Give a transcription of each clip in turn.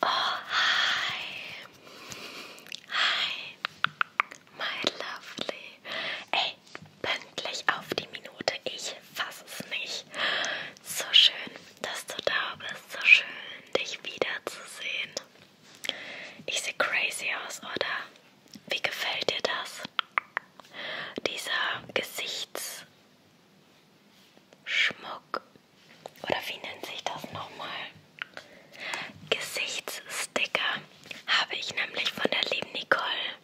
Oh, hi, hi, my lovely. Hey, pünktlich auf die Minute. Ich fasse es nicht. So schön, dass du da bist. So schön, dich wiederzusehen. Ich sehe crazy aus, oder? Wie gefällt dir das? Dieser Gesichtsschmuck. Oder wie nennt sich das nochmal? Gesichtssticker habe ich nämlich von der lieben Nicole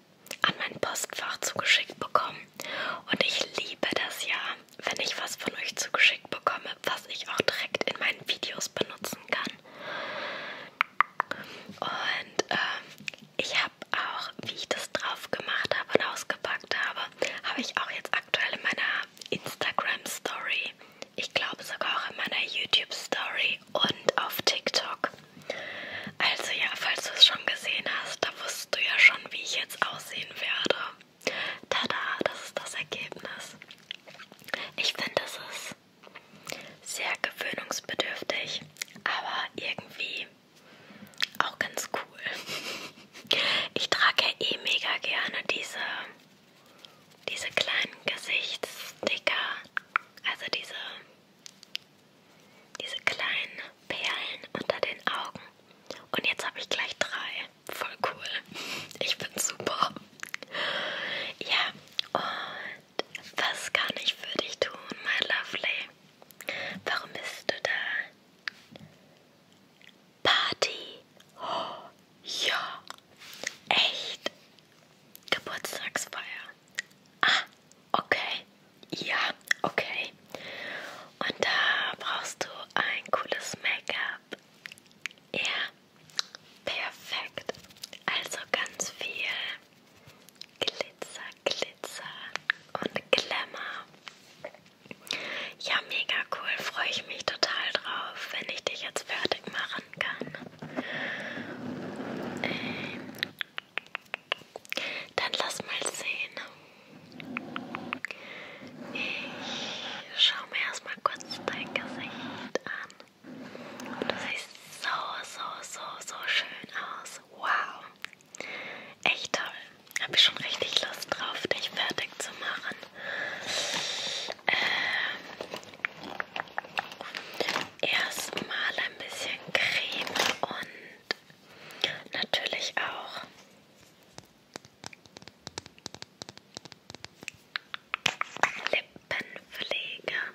an mein Postfach zugeschickt bekommen. Und ich liebe das ja, wenn ich was von euch zugeschickt bekomme, was ich auch direkt in meinen Videos benutzen kann. Und ähm, ich habe auch, wie ich das drauf gemacht habe und ausgepackt habe, habe ich auch jetzt aktuell in meiner Instagram-Story, ich glaube sogar auch in meiner YouTube-Story und auf TikTok also ja, falls du es schon gesehen hast, da wusstest du ja schon, wie ich jetzt aussehen werde. Tada, das ist das Ergebnis. Ich finde, es ist sehr gewöhnungsbedürftig, aber irgendwie auch ganz cool. Ich trage ja eh mega gerne diese, diese kleinen Gesichtssticker, also diese diese kleinen Perlen unter den Augen. Und jetzt habe ich gleich drei. Voll cool. Ich bin super. Ja, und was kann ich für dich tun, my lovely? Warum bist du da? Party. Oh, ja. Echt? Geburtstagsfeier. Ah, Okay, ja, okay. Und da brauchst du ein cooles Make-up. Ja, perfekt. Also ganz viel Glitzer, Glitzer und Glamour. Ja, mega cool. Freue ich mich total drauf, wenn ich dich jetzt fertig machen kann. Ähm dann lass mal sehen. Ich schaue mir erstmal kurz dein Gesicht an. Du siehst so, so, so, so schön aus. Wow. Echt toll. Habe ich schon richtig Lust drauf, dich fertig zu machen. Ähm, erstmal ein bisschen Creme und und natürlich auch Lippenpflege. Ja.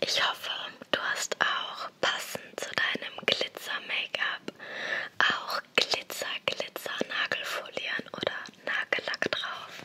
Ich hoffe, du hast auch passend zu deinem Glitzer-Make-up auch Glitzer-Glitzer-Nagelfolien oder Nagellack drauf.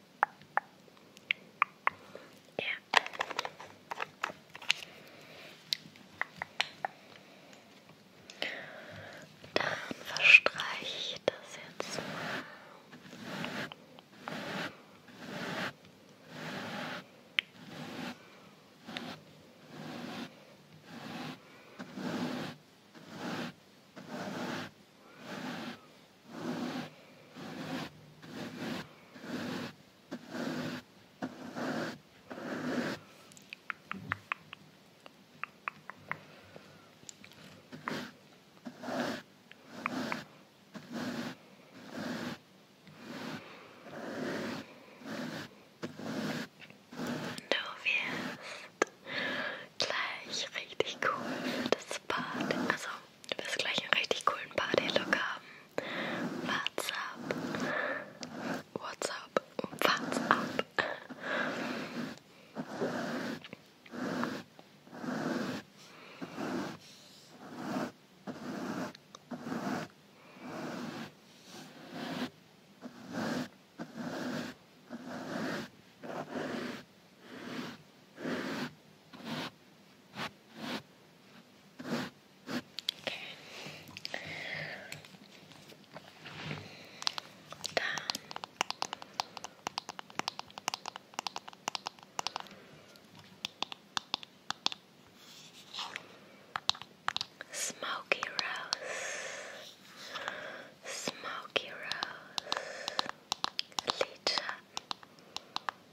Ja. Dann verstreiche ich das jetzt mal. Okay. Du wirst gleich richtig cool für das Bad. Also du wirst gleich einen richtig coolen Party-Look haben. What's up? What's up? What's up? Okay. Down. Smoky Rose, Smoky Rose, Leecher,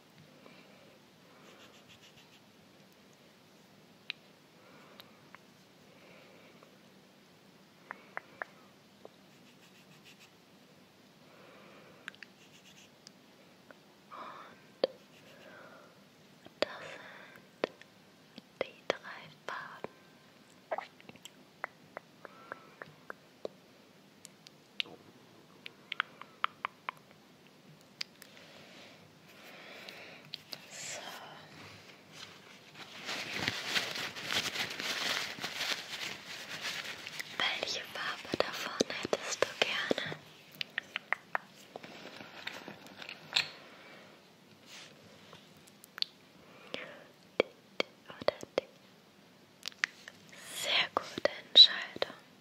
Und das sind die drei So. Welche Farbe davon hättest du gerne? Oder die? Sehr gute Entscheidung.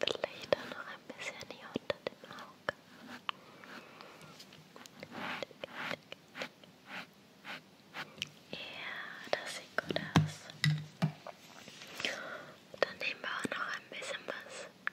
Vielleicht auch noch ein bisschen hier unter dem Auge. Ja, das sieht gut aus. Dann nehmen wir auch noch ein bisschen was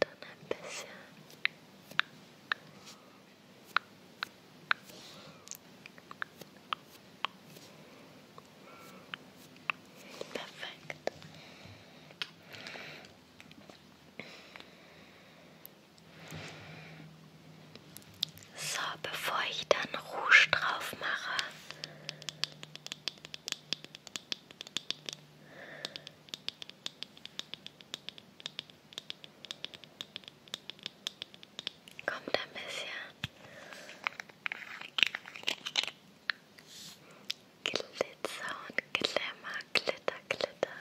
dann ein bisschen perfekt. So, bevor ich dann Rouge drauf mache, Kommt ein bisschen Glitzer und Glimmer, Glitter, Glitter.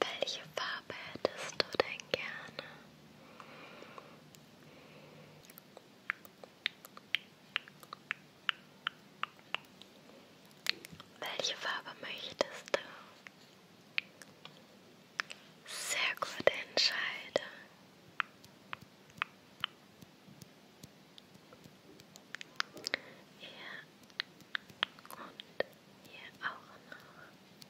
Welche Farbe hättest du denn gerne? Welche Farbe möchtest du? Sehr gut entscheide. Hier und hier auch noch.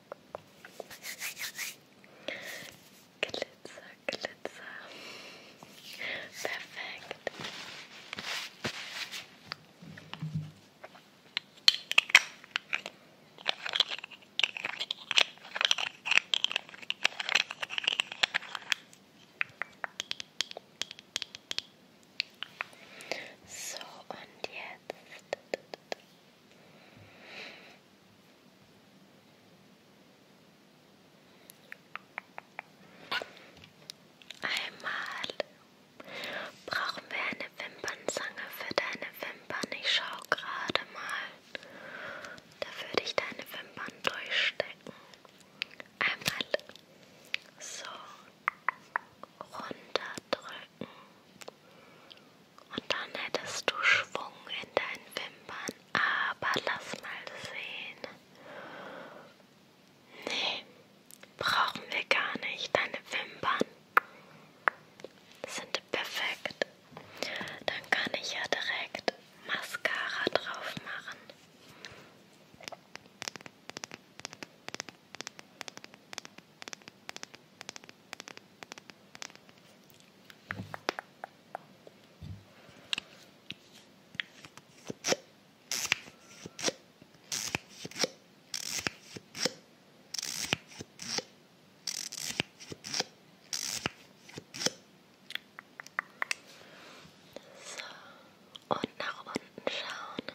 Glitzer, Glitzer. Perfekt. So, und jetzt Einmal brauchen wir eine Wimpernzange für deine Wimpern. Ich schau gerade mal. Da würde ich deine Wimpern durchstecken. Einmal so runterdrücken. Und dann hättest du Schwung in deinen Wimpern. Aber lass mal sehen. Nee, brauchen wir gar nicht. Deine Wimpern sind perfekt. Dann kann ich ja direkt Mascara drauf machen. So, und nach unten schauen.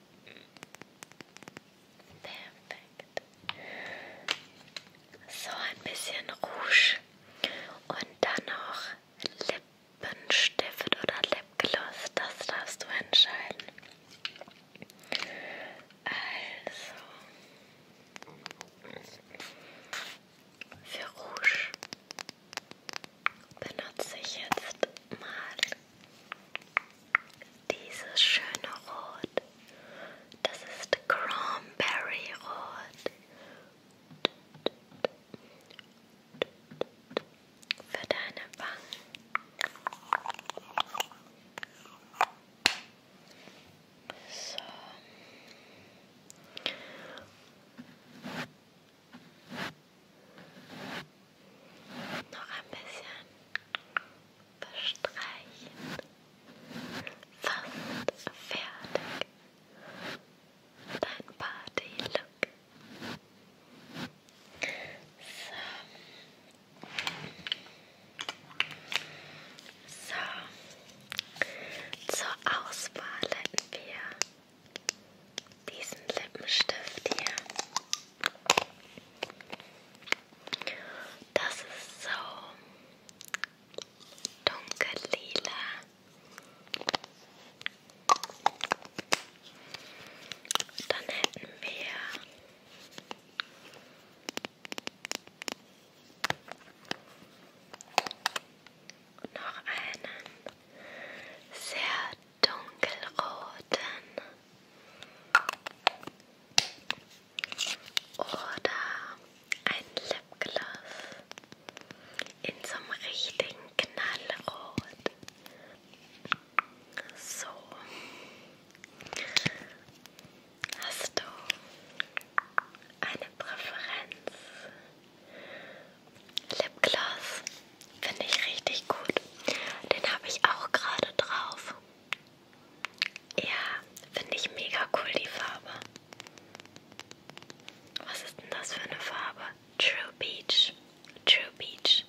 Perfekt. So ein bisschen Rouge und dann noch Lippenstift oder Lipgloss. Das darfst du entscheiden. Also für Rouge benutze ich jetzt mal dieses schöne Rot, das ist Cranberry Rot. Für deine Wangen. So. Noch ein bisschen bestreichen. Fast fertig. Dein Party-Look. So. so. Zur Auswahl hätten wir diesen Lippenstift hier. Das ist so dunkel lila. Dann hätten wir noch einen sehr dunkelroten oder ein Lipgloss in so einem richtigen Knallrot. So hast du eine Präferenz Lipgloss. Finde ich richtig gut. Den habe ich auch gerade drauf. Ja, finde ich mega cool die Farbe. Was ist denn das für eine Farbe? True Beach. True Beach.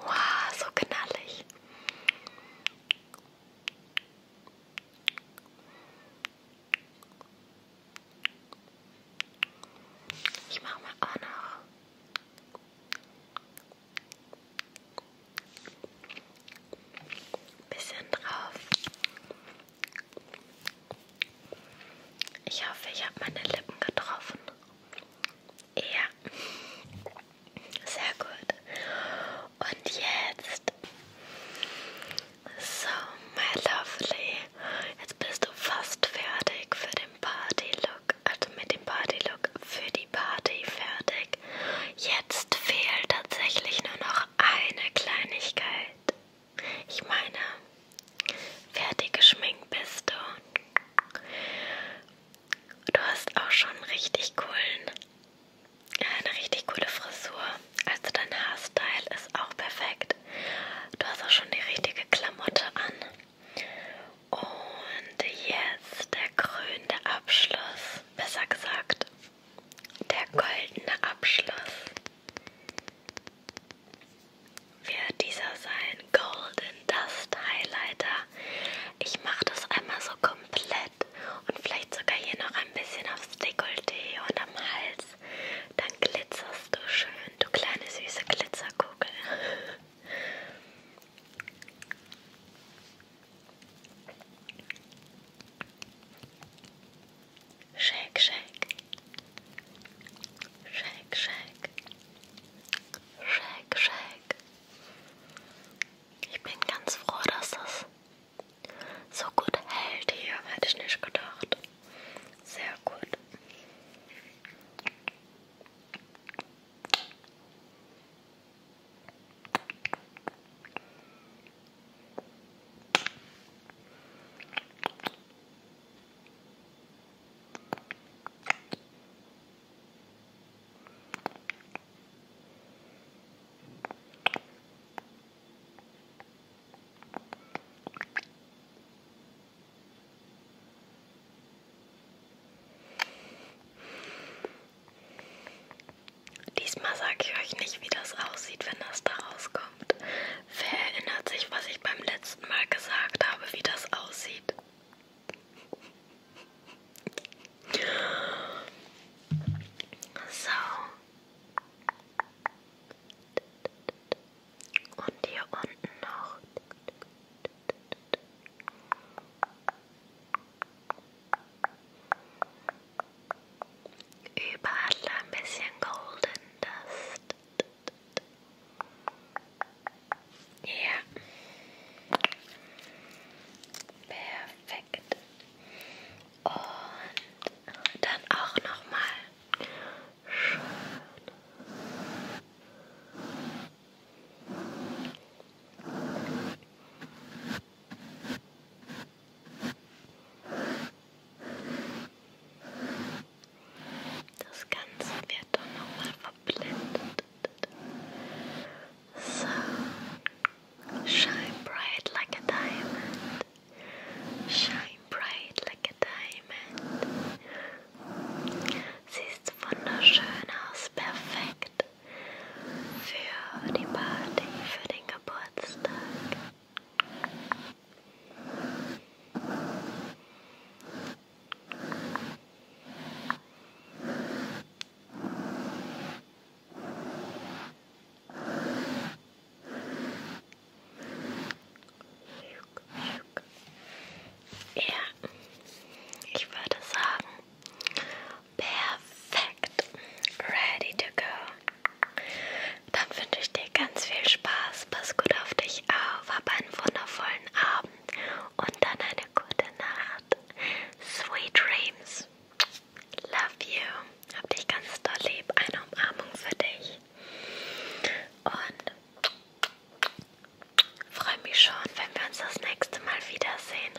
Wow, so knallig. Ich mache mal auch noch. Bisschen drauf. Ich hoffe, ich habe meine Lippen getroffen. Ja, sehr gut. Und jetzt, so, my lovely, jetzt bist du fast fertig für den Party-Look, also mit dem Party-Look für die Party fertig. Jetzt fehlt tatsächlich nur noch eine Kleinigkeit. Ich meine, Fertig geschminkt bist du. Du hast auch schon richtig coolen, äh, eine richtig coole Frisur. Also dein Haarstyle ist auch perfekt. Du hast auch schon die richtige Klamotte an. Und jetzt der krönende Abschluss, besser gesagt, der goldene Abschluss wird dieser sein Golden Dust Highlighter. Ich mache das einmal so komplett und vielleicht sogar hier noch ein bisschen aufs Dekolleté und am Hals. Dann glitzerst du schön, du kleine süße Glitzerkugel. Shake, shake. Shake, shake. Shake, shake. Ich bin ganz froh, dass das so gut hält hier. Hätte ich nicht gedacht. Sehr gut. Diesmal sage ich euch nicht, wie das aussieht, wenn das da rauskommt. Wer erinnert sich, was ich beim letzten Mal gesagt habe, wie das aussieht? So. Und hier unten noch. Überall ein bisschen Golden Dust. Ja. Perfekt. Und dann auch nochmal schön. Das Ganze wird dann nochmal verblendet. So, shine bright like a diamond. Shine bright like a diamond. Siehst wunderschön aus, perfekt für die Party, für den Geburtstag. Ja, ich würde sagen, perfekt. Ready to go. Dann wünsche ich dir ganz viel Spaß. Pass gut auf dich auf. Hab einen wundervollen Abend und dann eine gute Nacht. Sweet dreams. Love you. Hab dich ganz doll lieb. Eine Umarmung für dich. Und freue mich schon, wenn wir uns das nächste Mal wiedersehen.